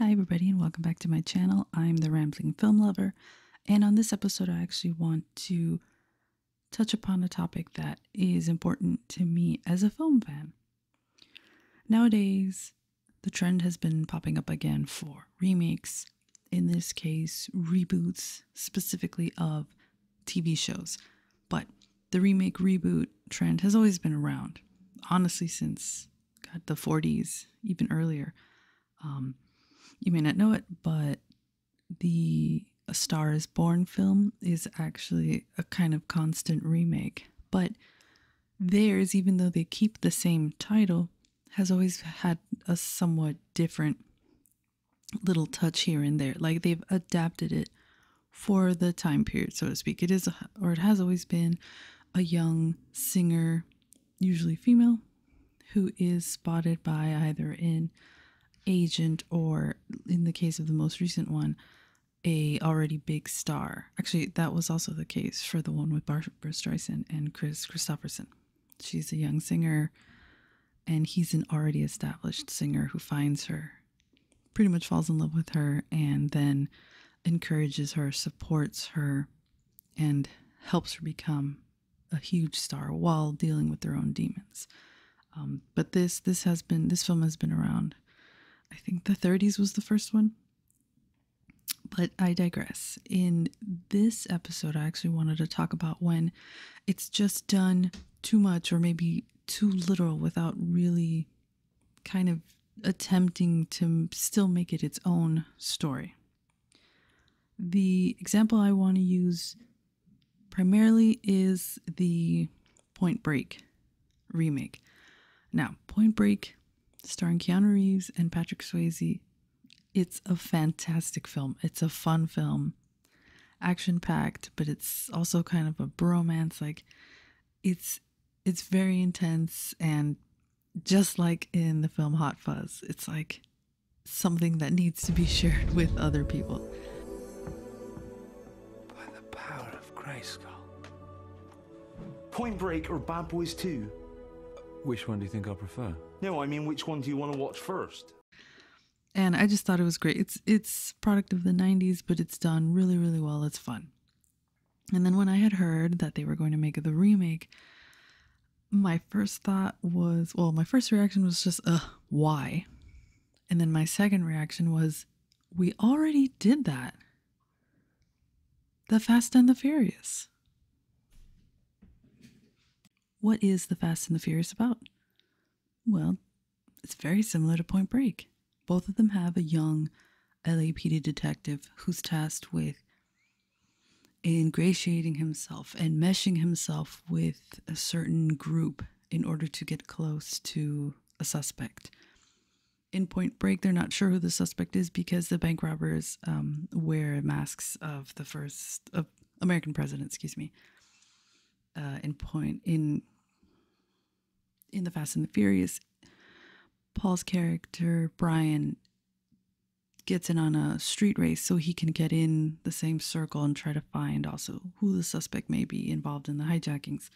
Hi everybody and welcome back to my channel. I'm the Rambling Film Lover and on this episode I actually want to touch upon a topic that is important to me as a film fan. Nowadays, the trend has been popping up again for remakes, in this case, reboots specifically of TV shows. But the remake reboot trend has always been around, honestly, since the 40s, even earlier. Um, you may not know it, but the A Star is Born film is actually a, kind of constant remake. But theirs, even though they keep the same title, has always had a somewhat different little touch here and there. Like they've adapted it for the time period, so to speak. It is, or it has always been, a young singer, usually female, who is spotted by either an agent or, in the case of the most recent one, a already big star. Actually, that was also the case for the one with Barbara Streisand and Chris Christopherson. She's a young singer, and he's an already established singer who finds her, pretty much falls in love with her, and then encourages her, supports her, and helps her become a huge star while dealing with their own demons. Um, but this this has been this film has been around. I think the 30s was the first one. But I digress. In this episode, I actually wanted to talk about when it's just done too much or maybe too little without really kind of attempting to still make it its own story. The example I want to use primarily is the Point Break remake. Now, Point Break, starring Keanu Reeves and Patrick Swayze, it's a fantastic film. It's a fun film, action packed, but it's also kind of a bromance. Like, it's it's very intense and just like in the film Hot Fuzz, it's like something that needs to be shared with other people. By the power of Grayskull. Point Break or Bad Boys 2? Which one do you think I prefer? No, I mean, which one do you want to watch first? And I just thought it was great. It's it's product of the 90s, but it's done really, really well. It's fun. And then when I had heard that they were going to make the remake, my first thought was, well, my first reaction was just, uh, why? And then my second reaction was, we already did that. The Fast and the Furious. What is The Fast and the Furious about? Well, it's very similar to Point Break. Both of them have a young LAPD detective who's tasked with ingratiating himself and meshing himself with a certain group in order to get close to a suspect. In Point Break, they're not sure who the suspect is because the bank robbers um, wear masks of the first of American president. Excuse me. Uh, in Point in in the Fast and the Furious, Paul's character Brian gets in on a street race so he can get in the same circle and try to find also who the suspect may be involved in the hijackings.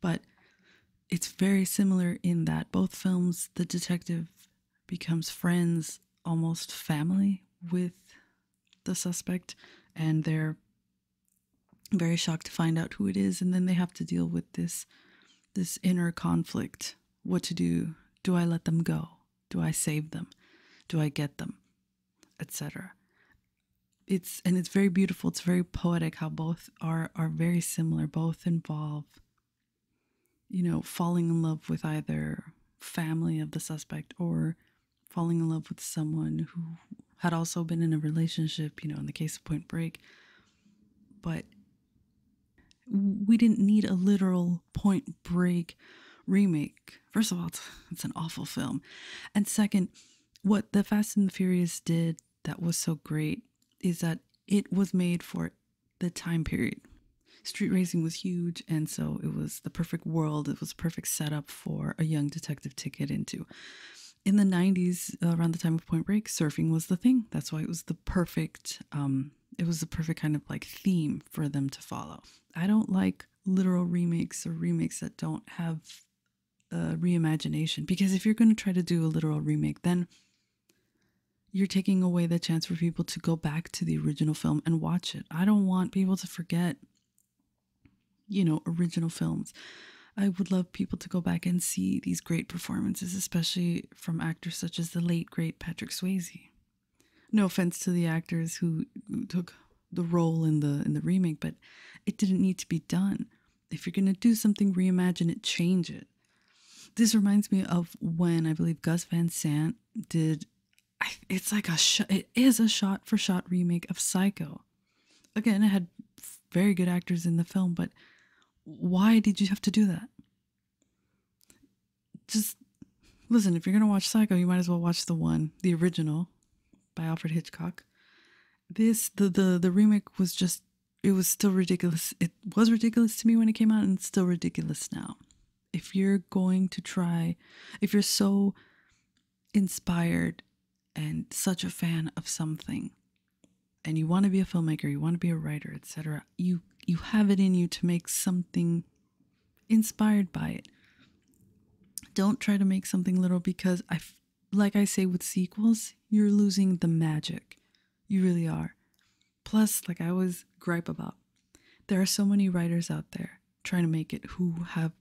But it's very similar in that both films, the detective becomes friends, almost family, with the suspect, and they're very shocked to find out who it is, and then they have to deal with this this inner conflict. What to do? Do I let them go? Do I save them? Do I get them? etc. It's and it's very beautiful. It's very poetic how both are are very similar. Both involve, you know, falling in love with either family of the suspect or falling in love with someone who had also been in a relationship. You know, in the case of Point Break, but we didn't need a literal Point Break remake. First of all, it's, it's an awful film, and second what the Fast and the Furious did that was so great is that it was made for the time period. Street racing was huge, and so it was the perfect world. It was a perfect setup for a young detective to get into. In the 90s, around the time of Point Break, surfing was the thing. That's why it was the perfect, um, it was the perfect kind of like theme for them to follow. I don't like literal remakes or remakes that don't have a reimagination because if you're going to try to do a literal remake then you're taking away the chance for people to go back to the original film and watch it. I don't want people to forget you know original films. I would love people to go back and see these great performances, especially from actors such as the late great Patrick Swayze. No offense to the actors who took the role in the in the remake, but it didn't need to be done. If you're gonna do something, reimagine it, change it. This reminds me of when I believe Gus Van Sant did. It's like a it is a shot for shot remake of Psycho. Again, it had very good actors in the film, but why did you have to do that? Just listen. If you're gonna watch Psycho, you might as well watch the one, the original, by Alfred Hitchcock. This the the the remake was just it was still ridiculous. It was ridiculous to me when it came out and still ridiculous now. If you're going to try if you're so inspired and such a fan of something and you want to be a filmmaker, you want to be a writer, etc. You you have it in you to make something inspired by it. Don't try to make something little because I like I say with sequels, you're losing the magic. You really are. Plus, like I always gripe about, there are so many writers out there trying to make it who have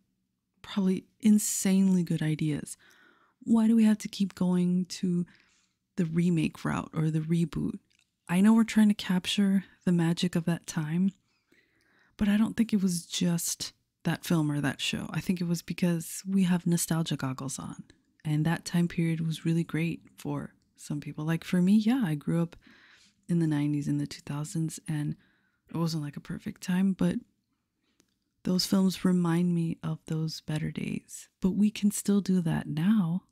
probably insanely good ideas. Why do we have to keep going to the remake route or the reboot? I know we're trying to capture the magic of that time, but I don't think it was just that film or that show. I think it was because we have nostalgia goggles on. And that time period was really great for some people. Like for me, yeah, I grew up in the 90s and the 2000s, and it wasn't like a perfect time, but those films remind me of those better days. But we can still do that now.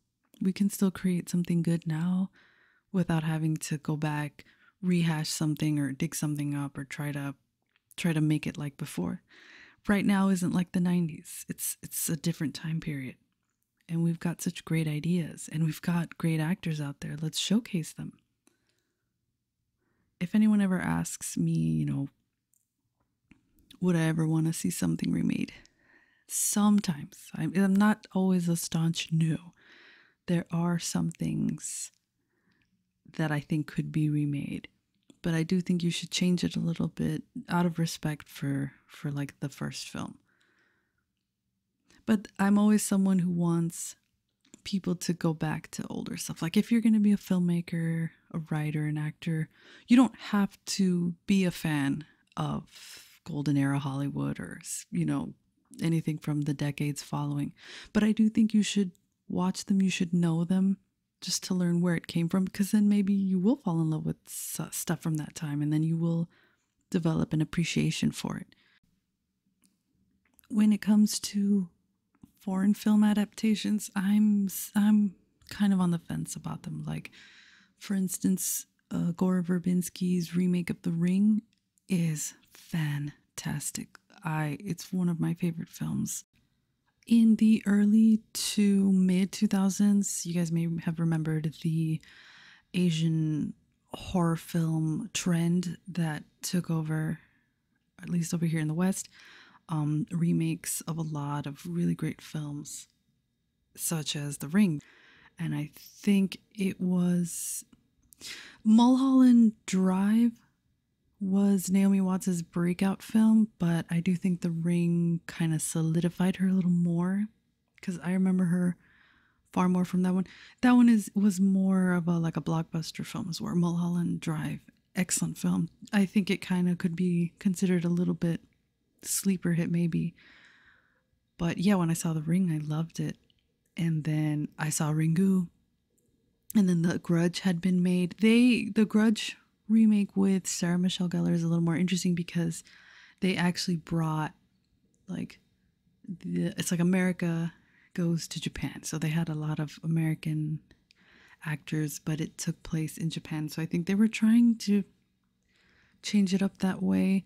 We can still create something good now without having to go back, rehash something, or dig something up, or try to try to make it like before. Right now isn't like the 90s. It's it's a different time period. And we've got such great ideas and we've got great actors out there. Let's showcase them. If anyone ever asks me, you know, would I ever want to see something remade? Sometimes. I'm, I'm not always a staunch no. There are some things that I think could be remade. But I do think you should change it a little bit out of respect for for like the first film. But I'm always someone who wants people to go back to older stuff. Like if you're going to be a filmmaker, a writer, an actor, you don't have to be a fan of golden era Hollywood or you know anything from the decades following. But I do think you should watch them, you should know them just to learn where it came from because then maybe you will fall in love with stuff from that time and then you will develop an appreciation for it. When it comes to foreign film adaptations, I'm I'm kind of on the fence about them. Like for instance, uh, Gore Verbinski's remake of The Ring is fantastic. I it's one of my favorite films. In the early to mid 2000s, you guys may have remembered the Asian horror film trend that took over at least over here in the West, um, remakes of a lot of really great films, such as The Ring. And I think it was Mulholland Drive was Naomi Watts' breakout film, but I do think The Ring kind of solidified her a little more because I remember her far more from that one. That one is was more of a like a blockbuster film, as well. Mulholland Drive, excellent film. I think it kind of could be considered a little bit sleeper hit maybe. But yeah, when I saw The Ring, I loved it. And then I saw Ringu and then the grudge had been made they the grudge remake with sarah michelle gellar is a little more interesting because they actually brought like the, it's like america goes to japan so they had a lot of american actors but it took place in japan so i think they were trying to change it up that way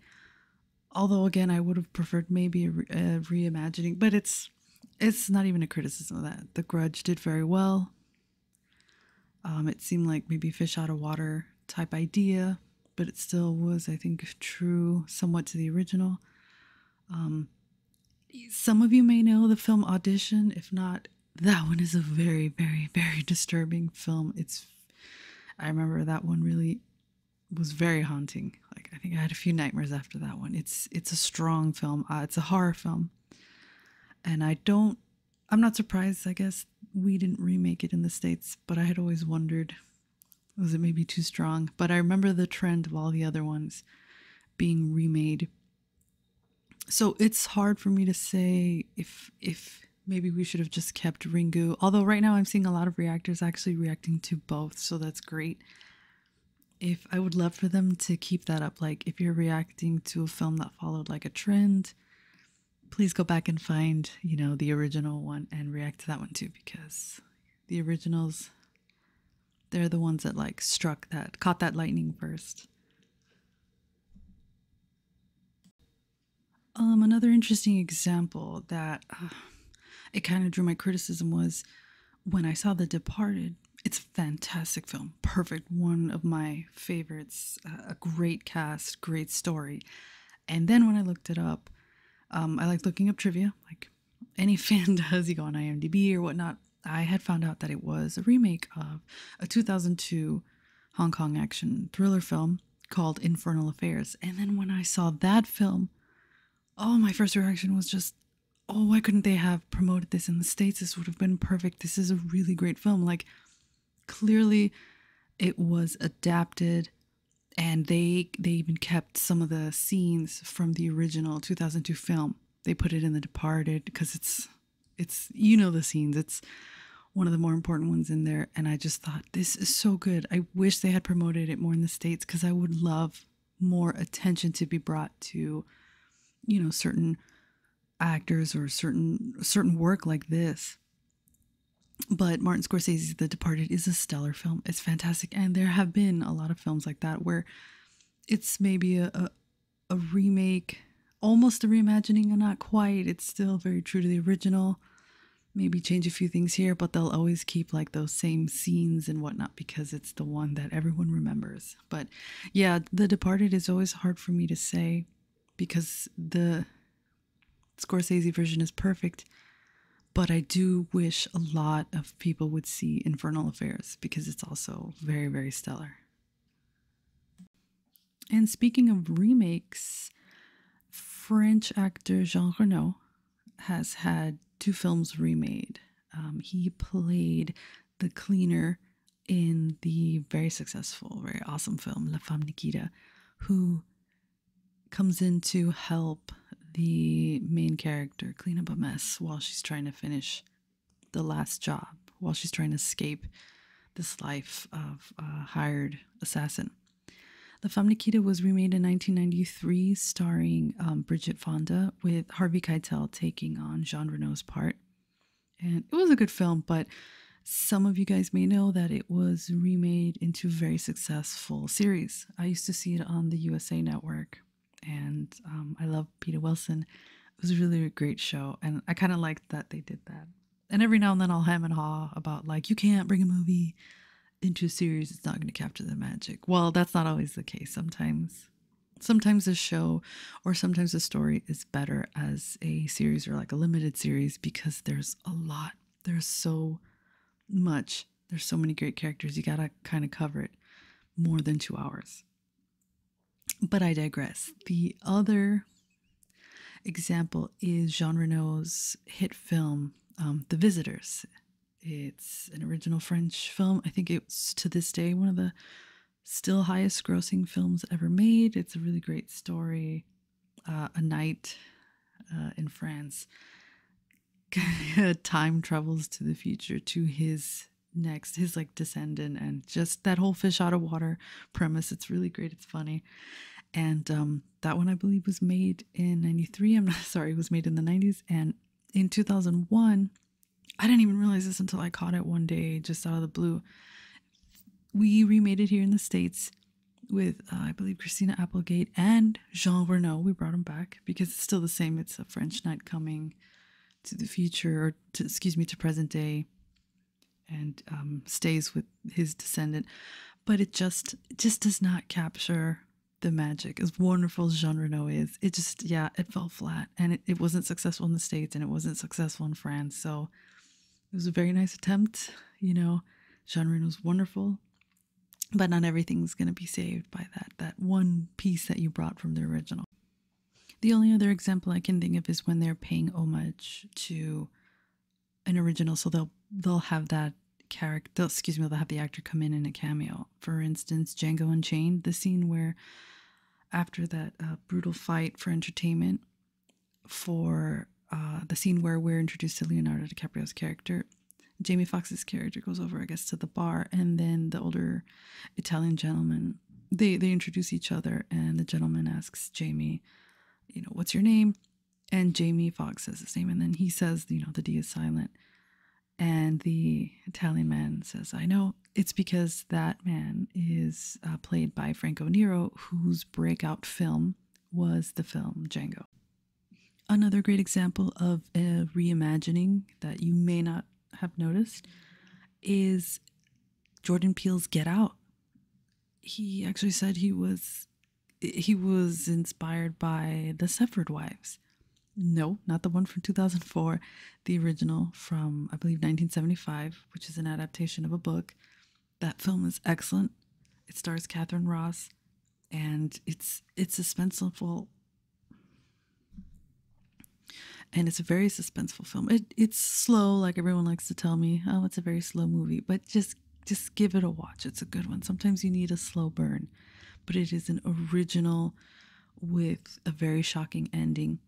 although again i would have preferred maybe a, re- a reimagining but it's it's not even a criticism of that. The Grudge did very well. Um, it seemed like maybe fish out of water type idea, but it still was, I think, true somewhat to the original. Um, some of you may know the film Audition. If not, that one is a very, very, very disturbing film. It's I remember that one really was very haunting. Like I think I had a few nightmares after that one. It's it's a strong film. Uh, it's a horror film, and I don't. I'm not surprised. I guess we didn't remake it in the states, but I had always wondered, was it maybe too strong? But I remember the trend of all the other ones being remade. So it's hard for me to say if if maybe we should have just kept Ringu. Although right now I'm seeing a lot of reactors actually reacting to both, so that's great if I would love for them to keep that up. Like, if you're reacting to a film that followed like a trend, please go back and find, you know, the original one and react to that one too, because the originals, they're the ones that like struck that, caught that lightning first. Um, another interesting example that uh, it kind of drew my criticism was when I saw The Departed, it's a fantastic film, perfect, one of my favorites, uh, a great cast, great story. And then when I looked it up, um, I like looking up trivia, like any fan does, you go on IMDb or whatnot. I had found out that it was a remake of a 2002 Hong Kong action thriller film called Infernal Affairs. And then when I saw that film, oh, my first reaction was just, oh, why couldn't they have promoted this in the States? This would have been perfect. This is a really great film. Like, clearly it was adapted and they they even kept some of the scenes from the original 2002 film they put it in the departed because it's it's you know the scenes it's one of the more important ones in there and i just thought this is so good i wish they had promoted it more in the states because i would love more attention to be brought to you know certain actors or certain certain work like this but Martin Scorsese's The Departed is a stellar film. It's fantastic, and there have been a lot of films like that where it's maybe a a, remake, almost a reimagining, and not quite. It's still very true to the original. Maybe change a few things here, but they'll always keep like those same scenes and whatnot because it's the one that everyone remembers. But yeah, The Departed is always hard for me to say because the Scorsese version is perfect. But I do wish a lot of people would see Infernal Affairs because it's also very, very stellar. And speaking of remakes, French actor Jean Reno has had two films remade. Um, he played the cleaner in the very successful, very awesome film La Femme Nikita, who comes in to help the main character clean up a mess while she's trying to finish the last job, while she's trying to escape this life of a hired assassin. La Femme Nikita was remade in 1993 Three starring um, Bridget Fonda, with Harvey Keitel taking on Jean Reno's part. And it was a good film, but some of you guys may know that it was remade into very successful series. I used to see it on the USA Network, and um, I love Peter Wilson. It was a really great show, and I kind of liked that they did that. And every now and then I'll hem and haw about, like, you can't bring a movie into a series, it's not going to capture the magic. Well, that's not always the case. Sometimes, sometimes a show or sometimes a story is better as a series or like a limited series because there's a lot. There's so much. There's so many great characters. You got to kind of cover it more than two hours. But I digress. The other example is Jean Reno's hit film, um, The Visitors. It's an original French film. I think it's to this day one of the still highest grossing films ever made. It's a really great story. Uh, a night uh, in France time travels to the future to his next his like descendant and just that whole fish out of water premise it's really great it's funny and um, that one i believe was made in 93 i'm sorry was made in the 90s and in 2001, I didn't even realize this until I caught it one day just out of the blue. We remade it here in the States with, uh, I believe, Christina Applegate and Jean Renault. We brought him back because it's still the same. It's a French knight coming to the future, or excuse me, to present day, and um, stays with his descendant. But it just just does not capture the magic as wonderful as Jean Reno is. It just, yeah, it fell flat and it, it wasn't successful in the States and it wasn't successful in France. So it was a very nice attempt. You know, Jean Reno's wonderful, but not everything's going to be saved by that, that one piece that you brought from the original. The only other example I can think of is when they're paying homage to an original. So they'll, they'll have that character, excuse me, they'll have the actor come in in a cameo. For instance, Django Unchained, the scene where after that uh, brutal fight for entertainment, for uh, the scene where we're introduced to Leonardo DiCaprio's character, Jamie Foxx's character goes over, I guess, to the bar, and then the older Italian gentleman they they introduce each other, and the gentleman asks Jamie, you know, what's your name? And Jamie Foxx says his name, and then he says, you know, the D is silent, and the Italian man says, I know it's because that man is uh, played by Franco Nero, whose breakout film was the film Django. Another great example of a reimagining that you may not have noticed is Jordan Peele's Get Out. He actually said he was he was inspired by The Severed Wives. No, not the one from 2004, the original from, I believe, 1975, which is an adaptation of a book. That film is excellent. It stars Catherine Ross, and it's it's suspenseful, and it's a very suspenseful film. It it's slow, like everyone likes to tell me. Oh, it's a very slow movie, but just just give it a watch. It's a good one. Sometimes you need a slow burn but it is an original with a very shocking ending.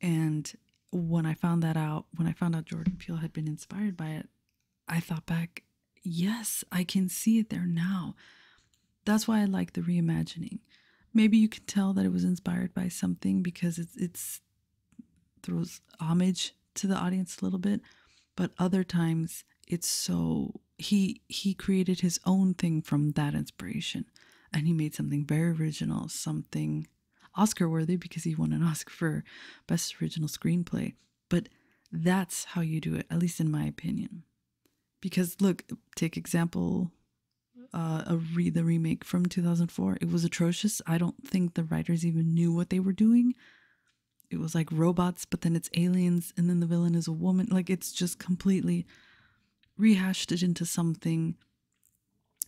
And when I found that out, when I found out Jordan Peele had been inspired by it, I thought back, yes, I can see it there now. That's why I like the reimagining. Maybe you can tell that it was inspired by something because it's it's throws homage to the audience a little bit, but other times it's so he he created his own thing from that inspiration and he made something very original something oscar worthy because he won an oscar for best original screenplay but that's how you do it at least in my opinion because look take example uh, a re the remake from 2004 it was atrocious i don't think the writers even knew what they were doing it was like robots, but then it's aliens, and then the villain is a woman. Like it's just completely rehashed it into something,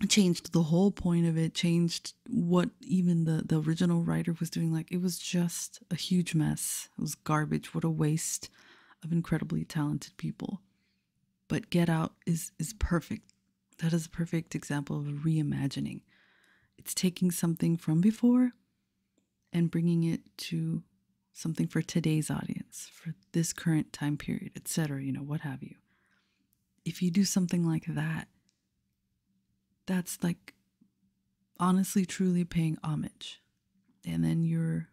changed the whole point of it, changed what even the, the original writer was doing. Like it was just a huge mess. It was garbage. What a waste of incredibly talented people. But Get Out is is perfect. That is a perfect example of reimagining. It's taking something from before and bringing it to something for today's audience, for this current time period, etc., you know, what have you. If you do something like that, that's like honestly, truly paying homage. And then you're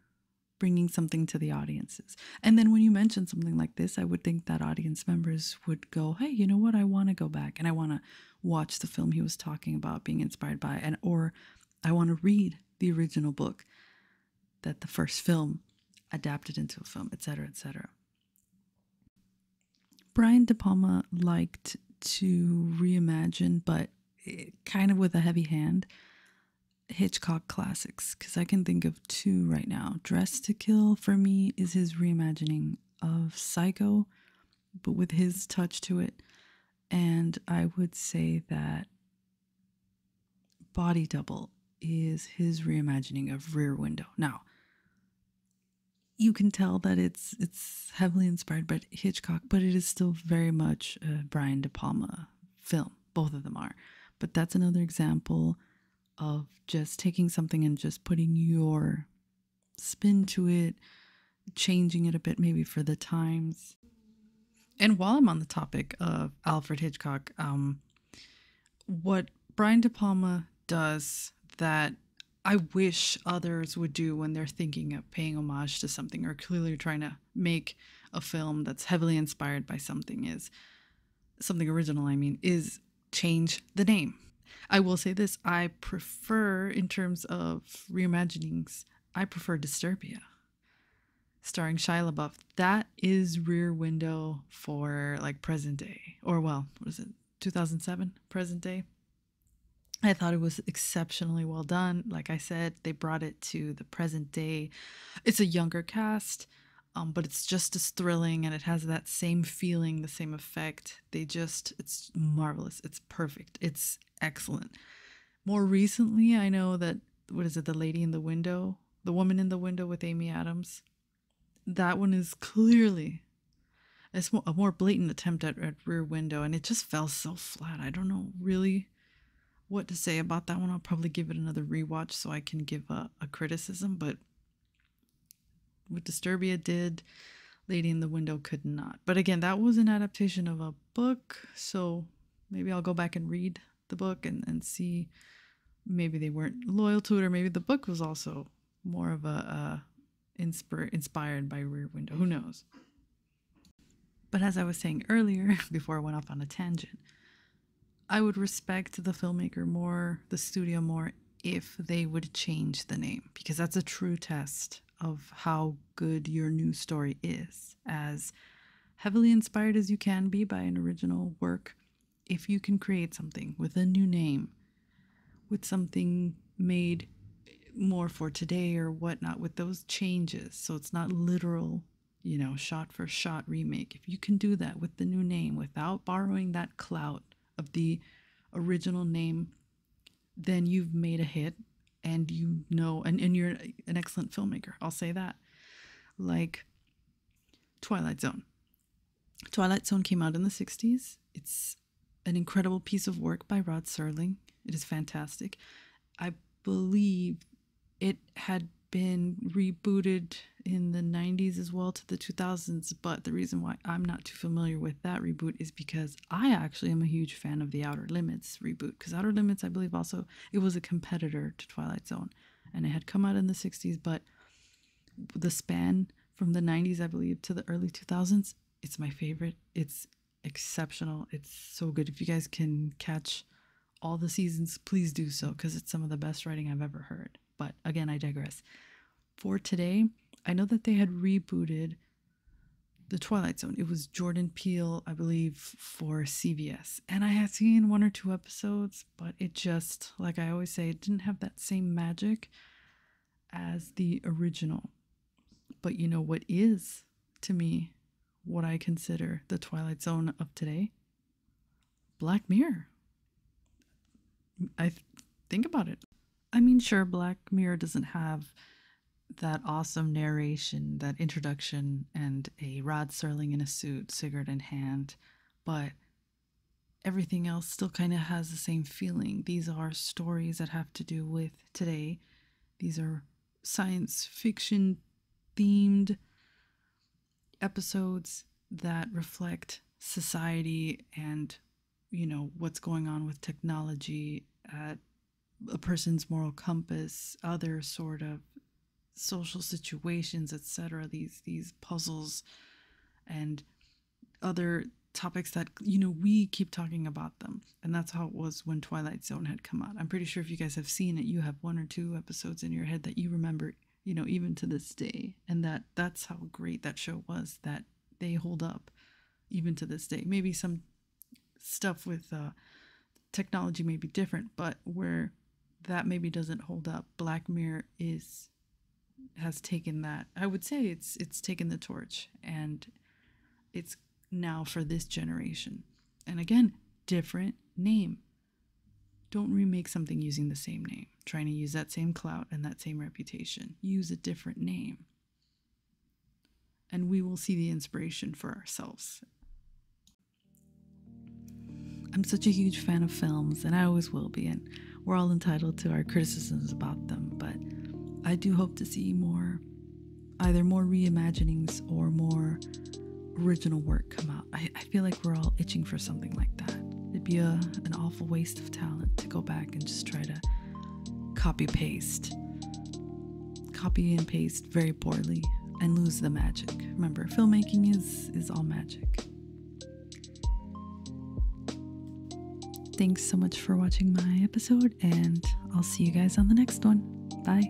bringing something to the audiences. And then when you mention something like this, I would think that audience members would go, hey, you know what? I want to go back and I want to watch the film he was talking about being inspired by and or I want to read the original book that the first film adapted into a film, etc., etc. Brian De Palma liked to reimagine, but kind of with a heavy hand, Hitchcock classics, because I can think of two right now. Dress to Kill, for me, is his reimagining of Psycho, but with his touch to it. And I would say that Body Double is his reimagining of Rear Window. Now, you can tell that it's it's heavily inspired by Hitchcock, but it is still very much a Brian De Palma film. Both of them are. But that's another example of just taking something and just putting your spin to it, changing it a bit maybe for the times. And while I'm on the topic of Alfred Hitchcock, um, what Brian De Palma does that I wish others would do when they're thinking of paying homage to something or clearly trying to make a film that's heavily inspired by something is something original, I mean, is change the name. I will say this I prefer, in terms of reimagining I prefer Disturbia, starring Shia LaBeouf. That is Rear Window for like present day, or well, was it, 2007, present day. I thought it was exceptionally well done. Like I said, they brought it to the present day. It's a younger cast, um, but it's just as thrilling and it has that same feeling, the same effect they just, it's marvelous. It's perfect. It's excellent. More recently, I know that, what is it, The Lady in the Window? The Woman in the Window with Amy Adams? That one is clearly it's a more blatant attempt at, at Rear Window, and it just fell so flat. I don't know really what to say about that one. I'll probably give it another rewatch so I can give a criticism, but what Disturbia did, Lady in the Window could not. But again, that was an adaptation of a book, so maybe I'll go back and read the book and, and see. Maybe they weren't loyal to it, or maybe the book was also more of a, a inspir- inspired by Rear Window. Who knows? But as I was saying earlier, before I went off on a tangent, I would respect the filmmaker more, the studio more, if they would change the name, because that's a true test of how good your new story is, as heavily inspired as you can be by an original work, if you can create something with a new name, with something made more for today or whatnot, with those changes, so it's not literal, you know, shot for shot remake, if you can do that with the new name without borrowing that clout of the original name then you've made a hit and you know and, and you're an excellent filmmaker i'll say that like twilight zone twilight zone came out in the 60s it's an incredible piece of work by rod serling it is fantastic i believe it had been rebooted in the 90s as well to the 2000s but the reason why i'm not too familiar with that reboot is because I actually am a huge fan of the Outer Limits reboot. Because Outer Limits, I believe, also it was a competitor to Twilight Zone, and it had come out in the '60s, but the span from the '90s, I believe, to the early 2000s, it's my favorite. It's exceptional. It's so good. If you guys can catch all the seasons, please do so because it's some of the best writing I've ever heard. But again, I digress. For today, I know that they had rebooted the Twilight Zone. It was Jordan Peele, I believe, for CBS. And I had seen one or two episodes, but it just, like I always say, it didn't have that same magic as the original. But you know what is, to me, what I consider the Twilight Zone of today? Black Mirror. I think about it. I mean, sure, Black Mirror doesn't have that awesome narration, that introduction, and a Rod Serling in a suit, cigarette in hand, but everything else still kind of has the same feeling. These are stories that have to do with today. These are science fiction themed episodes that reflect society and you know what's going on with technology at a person's moral compass other sort of social situations etc these these puzzles and other topics that you know we keep talking about them and that's how it was when twilight zone had come out i'm pretty sure if you guys have seen it you have one or two episodes in your head that you remember you know even to this day and that that's how great that show was that they hold up even to this day maybe some stuff with uh, technology may be different, but where that maybe doesn't hold up, Black Mirror is has taken that. I would say it's it's taken the torch and it's now for this generation. And again, different name. Don't remake something using the same name, trying to use that same clout and that same reputation. Use a different name and we will see the inspiration for ourselves. I'm such a huge fan of films, and I always will be, and we're all entitled to our criticisms about them, but I do hope to see more, either more reimaginings or more original work come out. I, feel like we're all itching for something like that. It'd be a, an awful waste of talent to go back and just try to copy paste. Copy and paste very poorly and lose the magic. Remember, filmmaking is is all magic. Thanks so much for watching my episode and I'll see you guys on the next one. Bye.